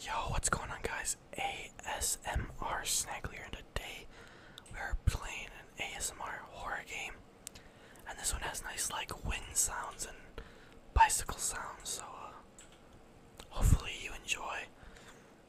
Yo, what's going on, guys? ASMR Snaggler, and today we are playing an ASMR horror game. And this one has nice, like, wind sounds and bicycle sounds, so uh, hopefully you enjoy.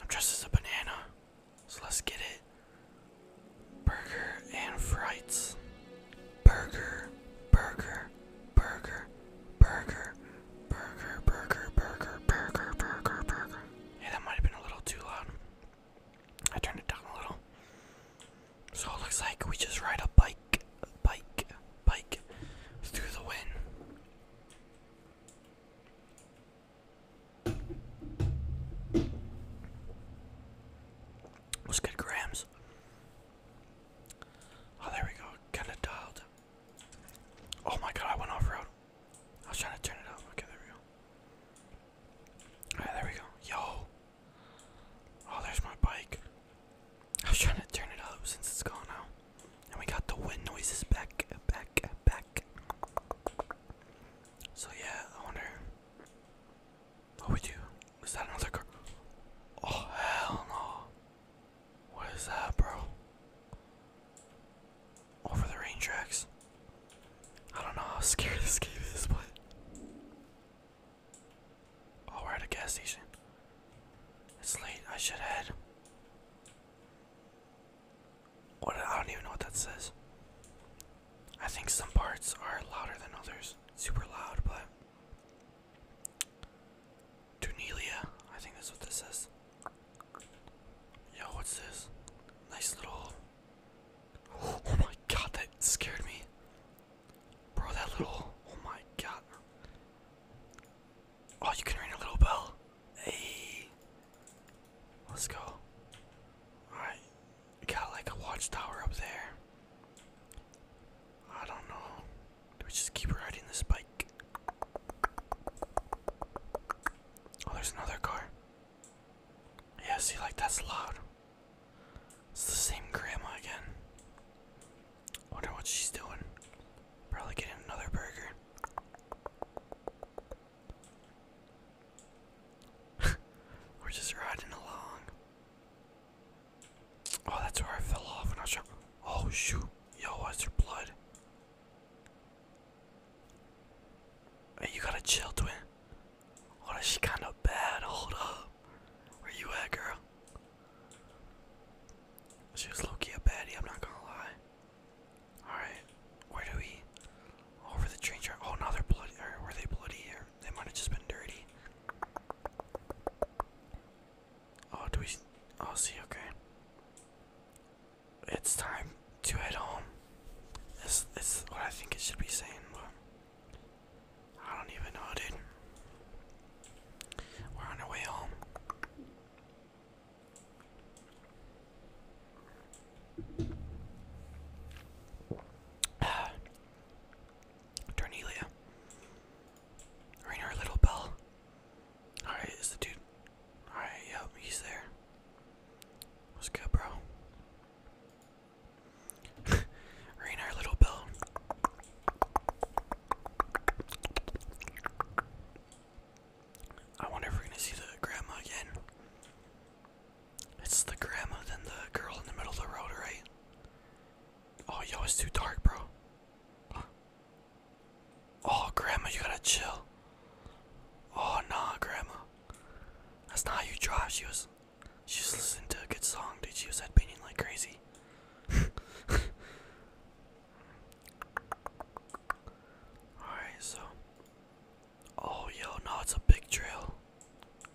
I'm dressed as a banana, so let's get it. Burger and frites. Burger, burger, burger, burger, burger, burger, burger, burger, burger, burger. Hey, that might have been a little too loud. I turned it down a little. So it looks like we just ride a bike, bike, bike through the wind. Let's get grams. Oh, there we go. Kind of dialed. Oh my god, I went off road. I was trying to turn it off. Okay, there we go. Alright, there we go. Yo. Oh, there's my bike. I was trying to turn it off since it's gone now. And we got the wind noises back, back, back. So yeah, I wonder. Oh, we do. Is that another car? Oh, hell no. What is that, bro? Over the rain tracks. I don't know how scary this game is, but. Oh, we're at a gas station. It's late. I should head. What? I don't even know what that says. I think some parts are louder than others. Super loud, but Tunelia, I think that's what this is. Yo, what's this? Nice little. Oh my god, that scared me. Bro, that little. Oh my god. Oh, you can ring a little bell. Hey. Let's go. Alright. Got like a watchtower up there. I don't know. Do we just keep riding this bike? Oh, there's another car. Yeah, see, like that's loud. It's the same grandma again. Wonder what she's doing. Probably getting another burger. We're just riding along. Oh, that's where I fell off Oh shoot! Yo, why's your blood? you gotta chill, twin. Oh, she kind of bad. Hold up. are you at, girl? She was low-key a baddie, I'm not gonna lie. Alright, where do we? Over the train track. Oh, now they're bloody. Or were they bloody? here? they might have just been dirty. Oh, do we? Oh, see, okay. It's time to head home. This, this is what I think it should be saying, but I don't even know, dude. We're on our way home. Ternelia. Ring her little bell. Alright, is the dude. Alright, yep, he's there. What's good, bro? Rain our little bell. I wonder if we're gonna see the grandma again. It's the grandma, then the girl in the middle of the road, right? Oh, yo, it's too dark, bro. Oh, Grandma, you gotta chill. Oh, nah, Grandma. That's not how you drive. She was, she was listening to a good song, Did She was headbanging like crazy. Alright, so. Oh, yo, no, it's a big trail.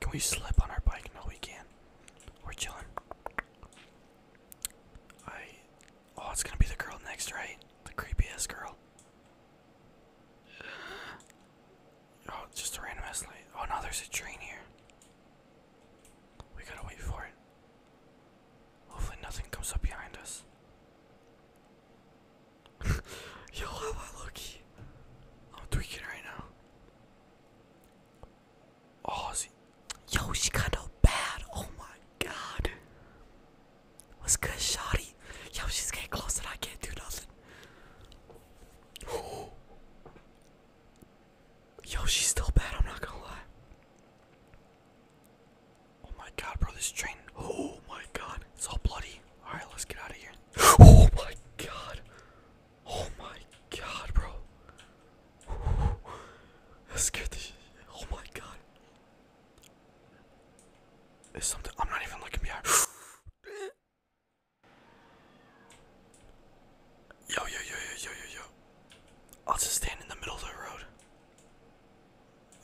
Can we slip on our bike? No, we can't. We're chilling. I Oh, it's gonna be the girl next, right? The creepiest girl. Oh, just a random light. Oh no, there's a train here. We gotta wait for it. Hopefully, nothing comes up behind us. Yo, am I lucky? I'm tweaking right now. Oh, is Yo, she got no bad. Oh my god. What's good, Shotty? Yo, she's getting close and I can't do nothing. Yo, she's still bad, I'm not gonna lie. Oh my god, bro, this train. Oh my god, it's all bloody. Alright, let's get out of here. Oh my god. Oh my god, bro. That scared the shit. Oh my god. There's something. I'm not even looking behind. yo, yo, yo, yo, yo, yo, yo. I'll just stand in the middle of the road.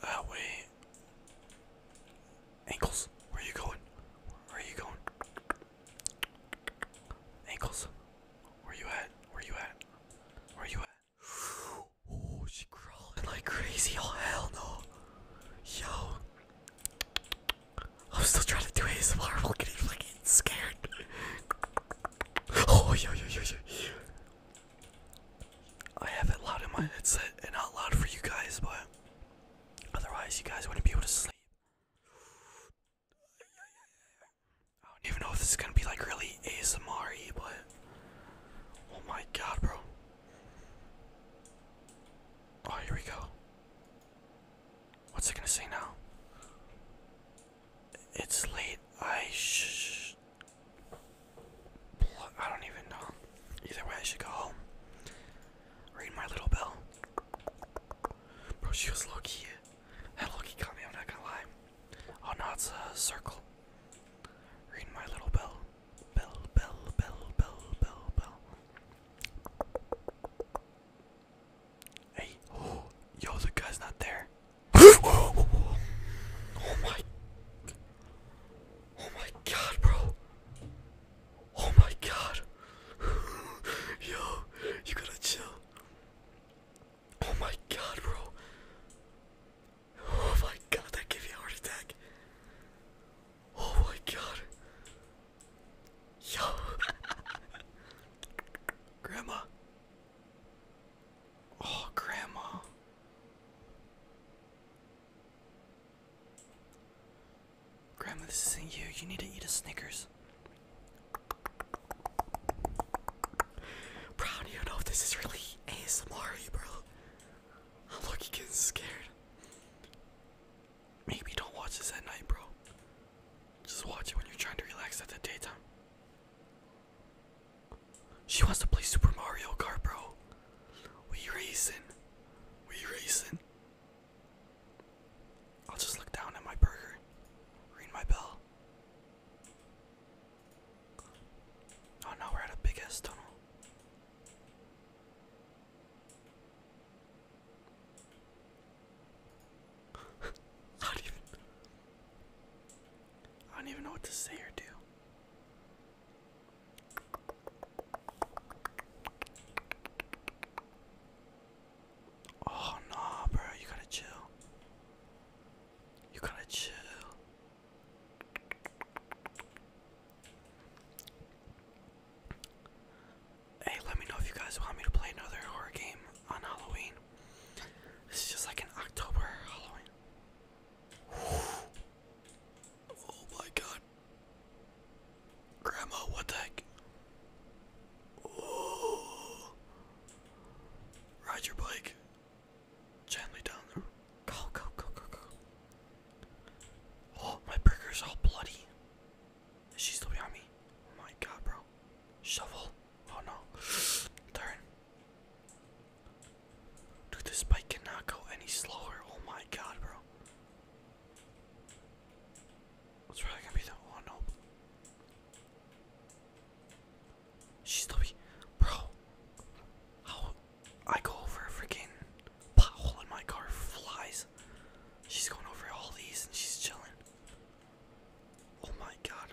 That way. Ankles, where are you going? Where are you going? Ankles, where you at? Where you at? Where you at? Oh, she crawling like crazy. Oh, hell no. Yo. I'm still trying to do ASMR while getting fucking scared. Oh, yo, yo, yo, yo. I have it loud in my headset and not loud for you guys, but otherwise, you guys wouldn't be able to sleep. I don't even know if this is gonna be like really ASMR but Oh my god, bro. Oh, here we go. What's it gonna say now? It's late. I sh. I don't even know. Either way, I should go home. Ring my little bell. Bro, she was lucky. That low key me, I'm not gonna lie. Oh no, it's a circle. Ring my little bell. Bell, bell, bell, bell, bell, bell. Hey, yo, the guy's not there. oh my. Oh my god, bro. Oh my god. yo, you gotta chill. Oh my god, bro. Oh my god, that give me a heart attack. Oh my god. Yo. grandma. Oh, grandma. Grandma, this isn't you. You need to eat a Snickers. Brown, you know if this is really ASMR, bro. Look, am looking getting scared. Maybe don't watch this at night, bro. Just watch it when you're trying to relax at the daytime. She wants to play Super Mario Kart, bro. We racing. We racing. I'll just look down at my burger. Ring my bell. Oh no, we're at a big ass tunnel. not even I don't even know what to say or do. Oh no, bro, you gotta chill. You gotta chill. Hey, let me know if you guys want me to play another horror game on Halloween. This is just like an October Halloween. Oh my god. Grandma, what the heck? Ride your bike. Gently down the Go, go, go, go, go. Oh, my burger's all bloody. Is she still behind me? Oh my god, bro. Shovel. Oh no. Turn. Dude, this bike cannot go any slower. Oh my god, bro. What's really gonna be the oh no. She's the bro. How I go over a freaking pothole in my car flies. She's going over all these and she's chilling. Oh my god.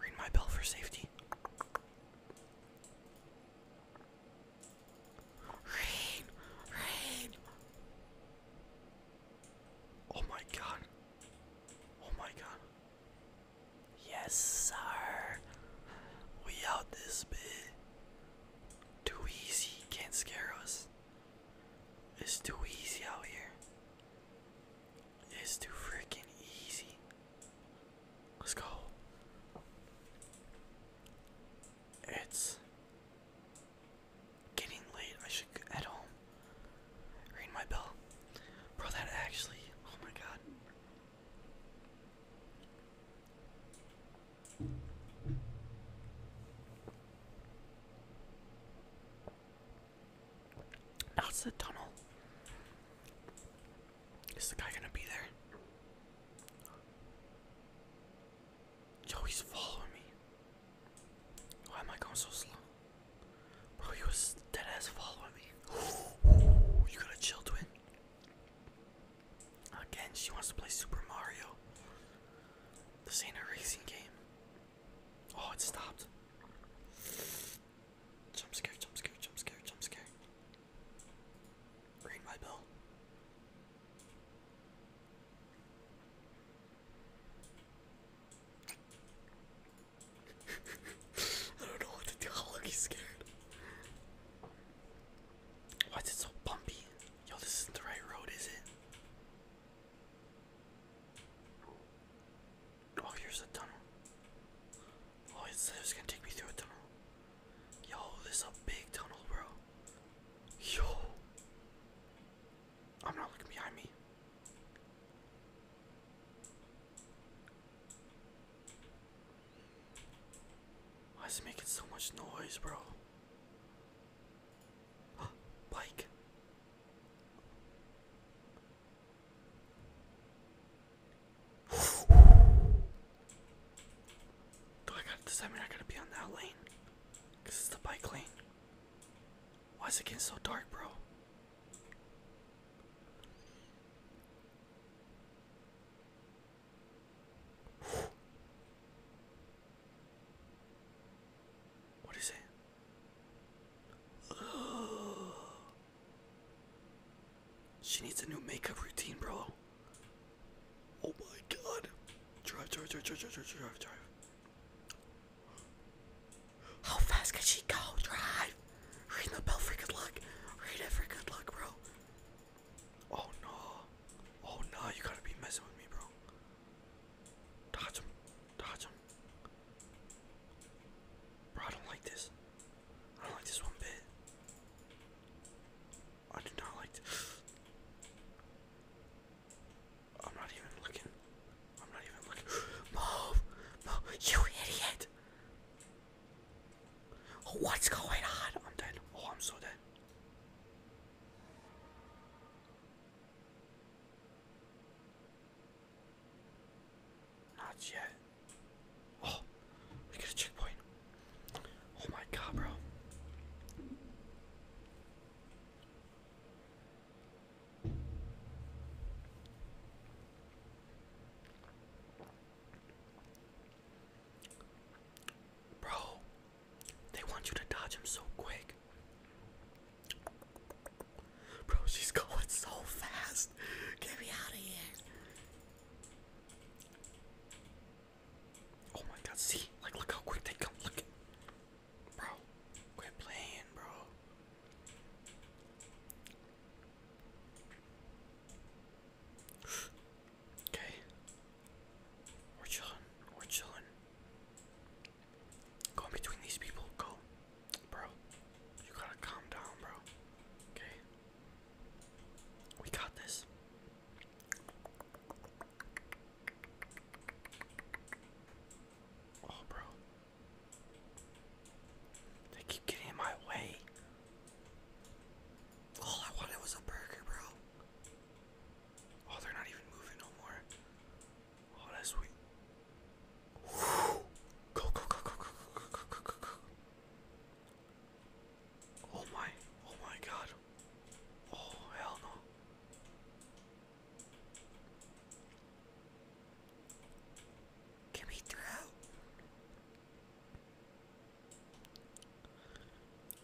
Ring my bell for safety. Rain, rain. Oh my god. Oh my god. Yes, sir. We out this bit. Too easy. Can't scare us. It's too easy out here. It's too freaking easy. Let's go. It's getting late. I should head home. Ring my bell. Bro, that actually. Oh my god. That's the tunnel. Is the guy gonna be there? Yo, he's following me. Why am I going so slow? Bro, you was dead ass following me. Ooh, you gotta chill, twin. Again, she wants to play Super Mario. This ain't a racing game. Oh, it stopped. Jump scare, jump scare, jump scare, jump scare. Ring my bell. I don't know what to do. I'm scared. Why is it so bumpy? Yo, this isn't the right road, is it? Oh, here's a tunnel. Oh, it's, it's gonna take me through a tunnel. Yo, this is a big tunnel, bro. Yo. I'm not looking behind me. Why is it making so much noise, bro? Bike. Do I got? Does that mean I gotta be on that lane? Cause it's the bike lane. Why is it getting so dark, bro? What is it? She needs a new makeup routine, bro. Oh my god. drive, drive, drive, drive, drive, drive, drive. How fast can she go? Drive! Read the bell for good luck. Read it for good luck, bro. Oh no. Oh no, you gotta be messing with me, bro. Dodge him. Dodge him. Bro, I don't like this. I don't like this one bit. I do not like this. I'm not even looking. I'm not even looking. Move! Move! You idiot! What's going on? I'm dead. Oh, I'm so dead. Not yet. Oh, we got a checkpoint. Oh my god, bro. Bro, they want you to dodge him so quick. Bro, she's going so fast. Get me out of here. Oh my god, see? Like, look how quick they come. Look. Bro, quit playing, bro. Okay. We're chilling. We're chilling. Go in between these people. Go. Bro. You gotta calm down, bro. Okay. We got this. Oh, bro. They keep getting in my way. All I wanted was a burger, bro. Oh, they're not even moving no more. Oh, that's sweet. Whew. Go, go, go, go, go, go, go, go, go, go. Oh my, oh my god. Oh, hell no. Get me through.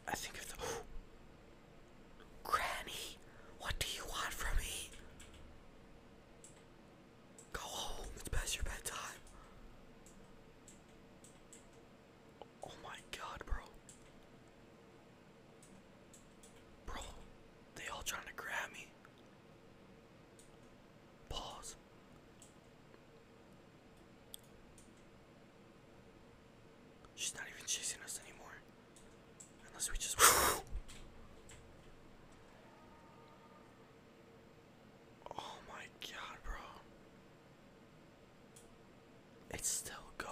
I think of Granny, what do you want from me? Go home, it's past your bedtime. Oh my god, bro. Bro, they all trying to grab me. Pause. She's not even chasing us anymore. Unless we just. oh my god, bro. It's still going.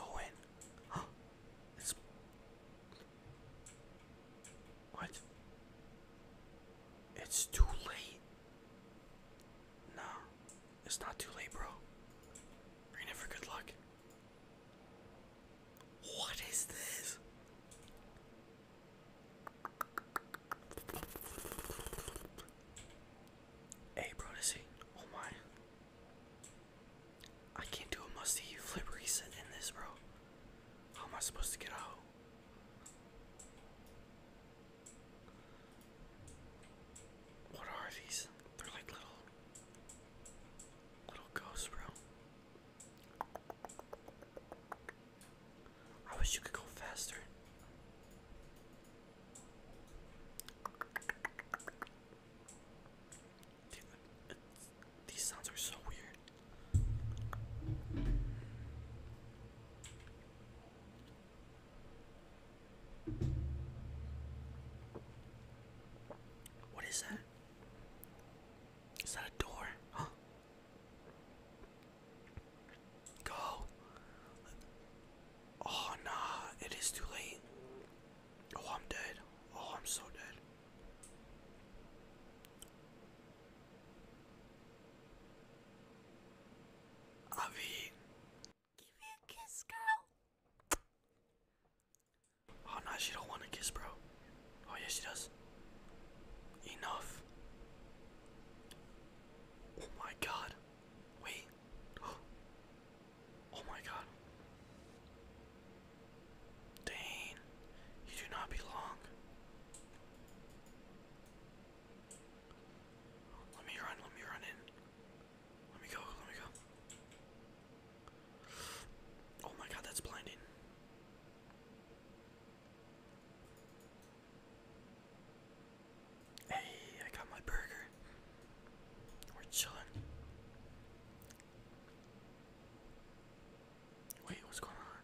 It's what? It's too late. Nah, it's not too late, bro. You're good luck. What is this? Hey, bro, to see. Oh my. I can't do a musty flip reset in this, bro. How am I supposed to get out? What are these? They're like little little ghosts, bro. I wish you could go faster these sounds are so weird. What is that? Is that a door? Huh? Go. Oh, nah, it is too late. Oh, I'm dead. Oh, I'm so dead. Avi. Give me a kiss, girl. Oh no, she don't want a kiss, bro. Oh yeah, she does. Enough. Oh my god. Wait. oh my god. Dane, you do not belong. Let me run, let me run in. Let me go, let me go. Oh my god, that's blinding. Hey, I got my burger. We're chilling. Wait, what's going on?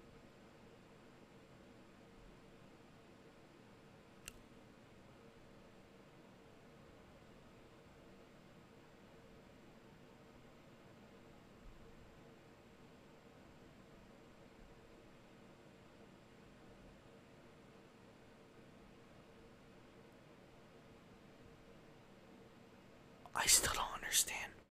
I still don't understand